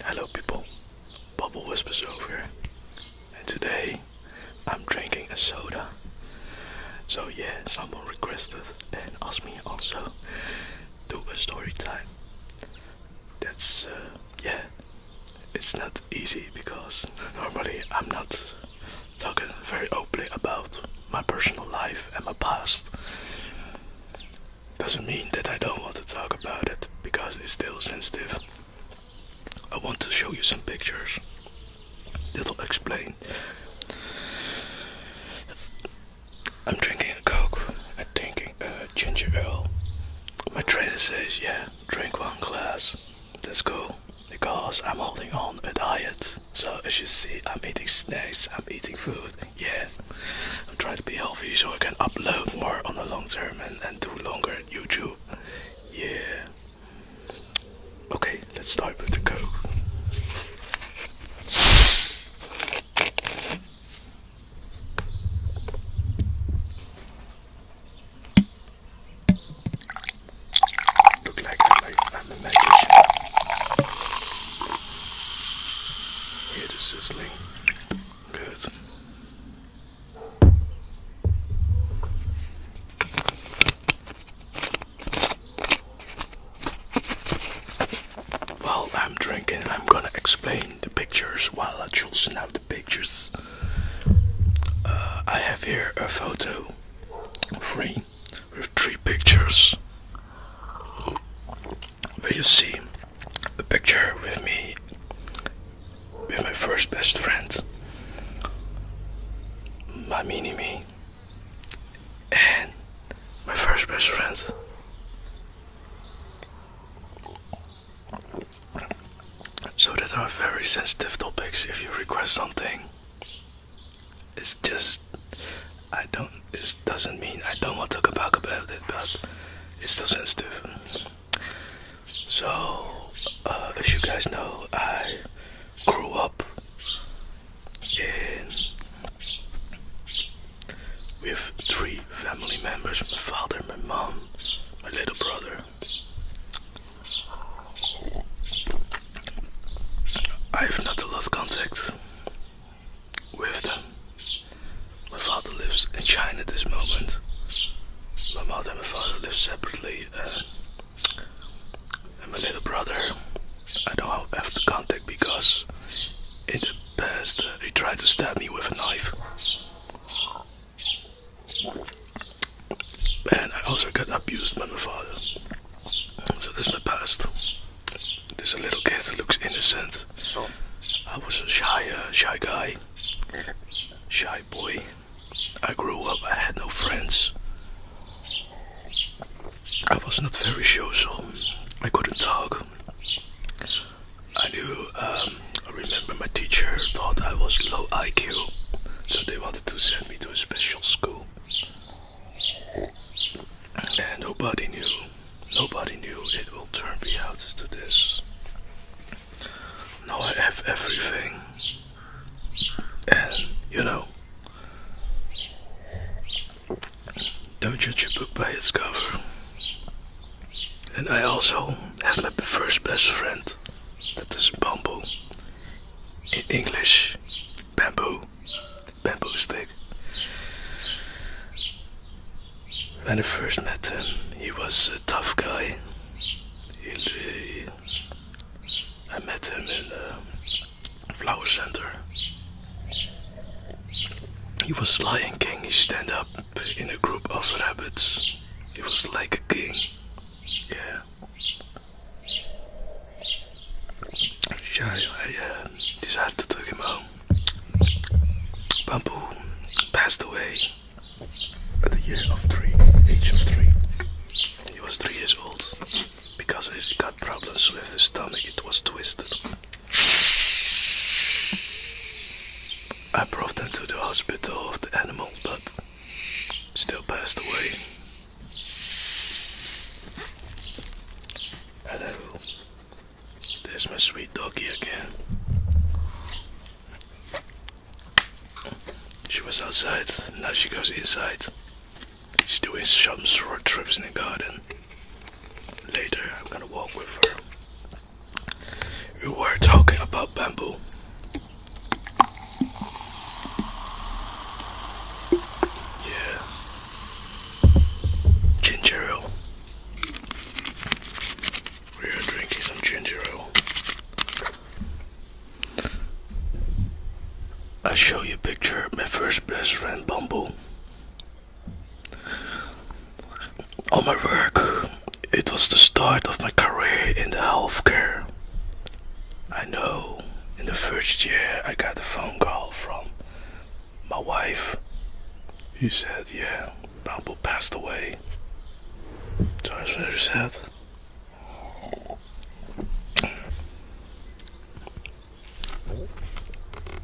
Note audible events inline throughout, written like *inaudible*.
Hello people, Bubble Whispers over and today I'm drinking a soda. So yeah, someone requested and asked me also do a story time. That's uh, yeah, it's not easy because *laughs* normally I'm not talking very openly about my personal life and my past. Doesn't mean that I don't want to talk about it because it's still sensitive. I want to show you some pictures that'll explain. I'm drinking a coke I'm drinking a ginger ale. My trainer says, yeah, drink one glass. That's cool Because I'm holding on a diet. So as you see, I'm eating snacks, I'm eating food. Yeah, I'm trying to be healthy so I can upload more on the long term and, do longer YouTube. Yeah. Okay, let's start with the coke. Look like, like I'm a magician. Hear the sizzling. Good. While I'm drinking, I'm gonna explain the pictures while I'm choosing out the pictures. Uh, I have here a photo frame with three pictures. Will you see a picture with me with my first best friend, my mini me, and my first best friend. So these are very sensitive topics. If you request something, it's just I don't. It doesn't mean I don't want to talk about it, but it's still sensitive. So, uh, as you guys know, I grew up with three family members my father, my mom, my little brother. I have not lost contact with them. My father lives in China at this moment. My mother and my father live separately. and my little brother, I don't have to contact because in the past uh, he tried to stab me with a knife. And I also got abused by my father. So this is my past. This little kid looks innocent. Oh. I was a shy, uh, shy guy. Shy boy. I grew up, I had no friends. I was not very social, I couldn't talk. I knew, um, I remember my teacher thought I was low IQ, so they wanted to send me to a special school. And nobody knew, nobody knew it will turn me out to this. Now I have everything. And, you know, don't judge a book by its cover. And I also have my first best friend. That is bamboo. In English, bamboo. Bamboo stick. When I first met him, he was a tough guy. He, I met him in a flower center. He was like a King. He stand up in a group of rabbits. He was like a king. Yeah. Yeah, I uh, decided to take him home. Bamboo passed away at the age of three. He was three years old. Because he got problems with his stomach, it was twisted. I brought him to the hospital of the animals, but still passed away. Hello, there's my sweet doggy again. She was outside, now she goes inside. She's doing some short trips in the garden. Later, I'm gonna walk with her. We were talking about bamboo. Yeah. Ginger ale. We are drinking some ginger ale. I show you a picture of my first best friend Bumble. On my work, it was the start of my career in the healthcare. I know in the first year I got the phone call from my wife. He said, Yeah, Bumble passed away. So I was very sad.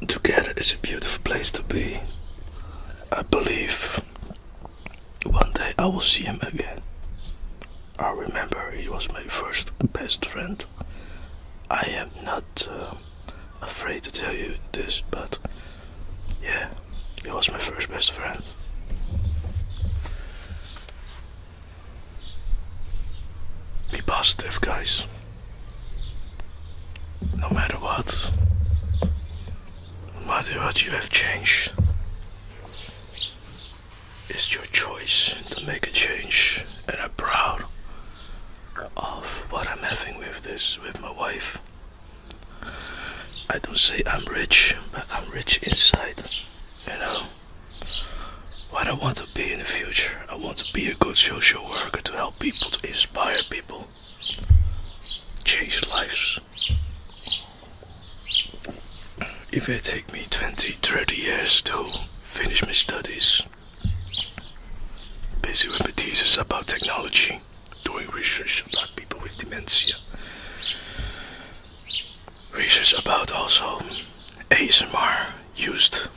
Together is a beautiful place to be. I believe one day I will see him again. I remember he was my first best friend. I am not uh, afraid to tell you this, but yeah, he was my first best friend. Be positive, guys. No matter what, no matter what you have changed, it's your choice to make a change, and I'm proud of what I'm having with this with my wife. I don't say I'm rich, but I'm rich inside. You know? What I want to be in the future. I want to be a good social worker to help people, to inspire people, change lives. If it take me 20, 30 years to finish my studies, busy with my thesis about technology, doing research about people with dementia. Research about also ASMR used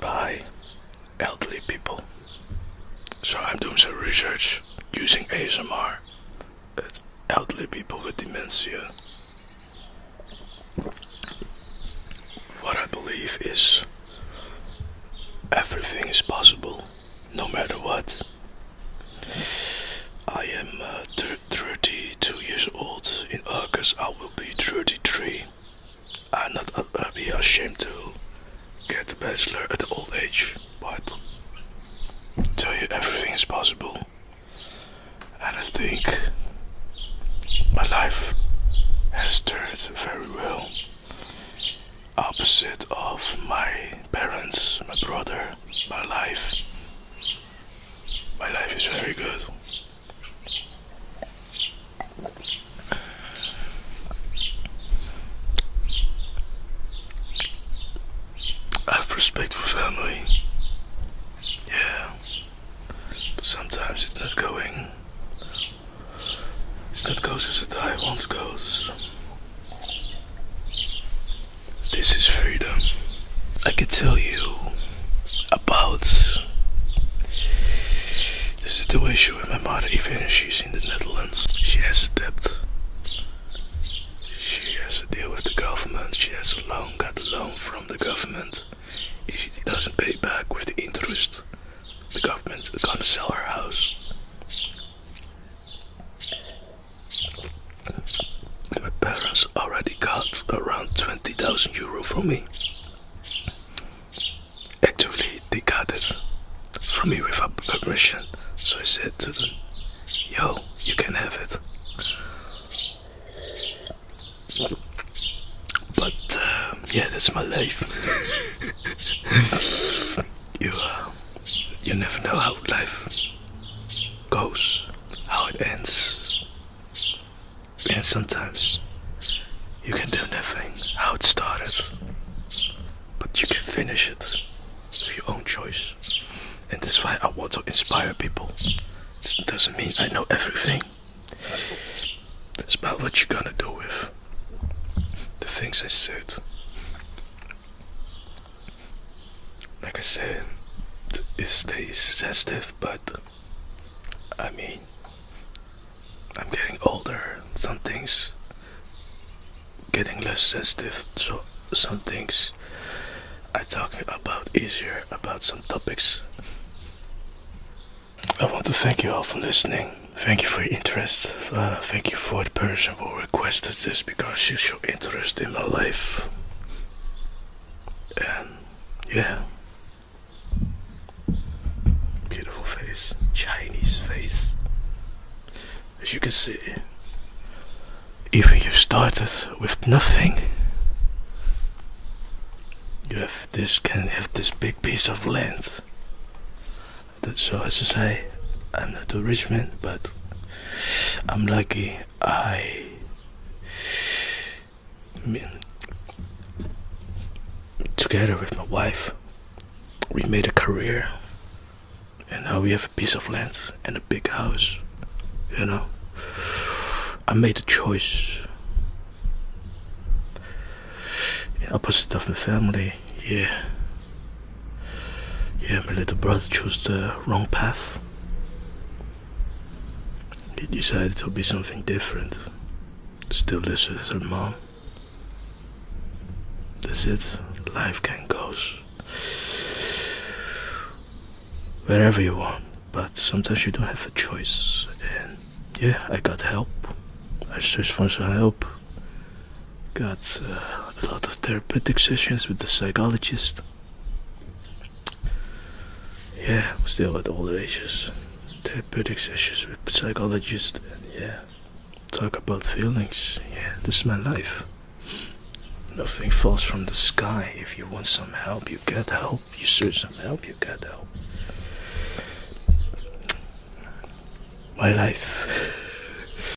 by elderly people. So I'm doing some research using ASMR at elderly people with dementia. What I believe is everything is possible, no matter what. I am uh, 32 years old. In August, I will be 33. I'm not uh, uh, be ashamed to get a bachelor at old age, but tell you everything is possible. And I think my life has turned very well opposite of my parents, my brother, my life. My life is very good. I have respect for family. Yeah. But sometimes it's not going. It's not going as I want it goes. This is freedom. I could tell you about the situation with my mother, even she's in the Netherlands. She has a debt. She has a deal with the government. She has a loan, got a loan from the government. If she doesn't pay back with the interest, the government is gonna sell her house. My parents already got around 20,000 euro from me. Actually, they got it from me without permission, so I said to them, Yo, you can have it. But uh, yeah, that's my life. *laughs* you you never know how life goes, how it ends, and sometimes you can do nothing how it started, but you can finish it with your own choice, and that's why I want to inspire people. It doesn't mean I know everything. It's about what you're gonna do with the things I said like I said, it stays sensitive, but I mean, I'm getting older. Some things getting less sensitive, so some things I talk about easier about some topics. I want to thank you all for listening. Thank you for your interest. Uh, thank you for person who requested this because she show interest in my life. And yeah. Beautiful face, Chinese face. As you can see, if you started with nothing, you have this can have this big piece of land so as I say, I'm not a rich man, but I'm lucky. I mean, together with my wife, we made a career, and now we have a piece of land and a big house. You know, I made a choice. Opposite of the family, yeah. Yeah, my little brother chose the wrong path. He decided to be something different. Still lives with her mom. That's it. Life can go wherever you want, but sometimes you don't have a choice. And yeah, I got help. I searched for some help got uh, a lot of therapeutic sessions with the psychologist. Yeah, still at all ages. Therapeutic sessions with psychologist yeah, talk about feelings. Yeah, this is my life. Nothing falls from the sky. If you want some help, you get help. You search some help, you get help. My life. *laughs*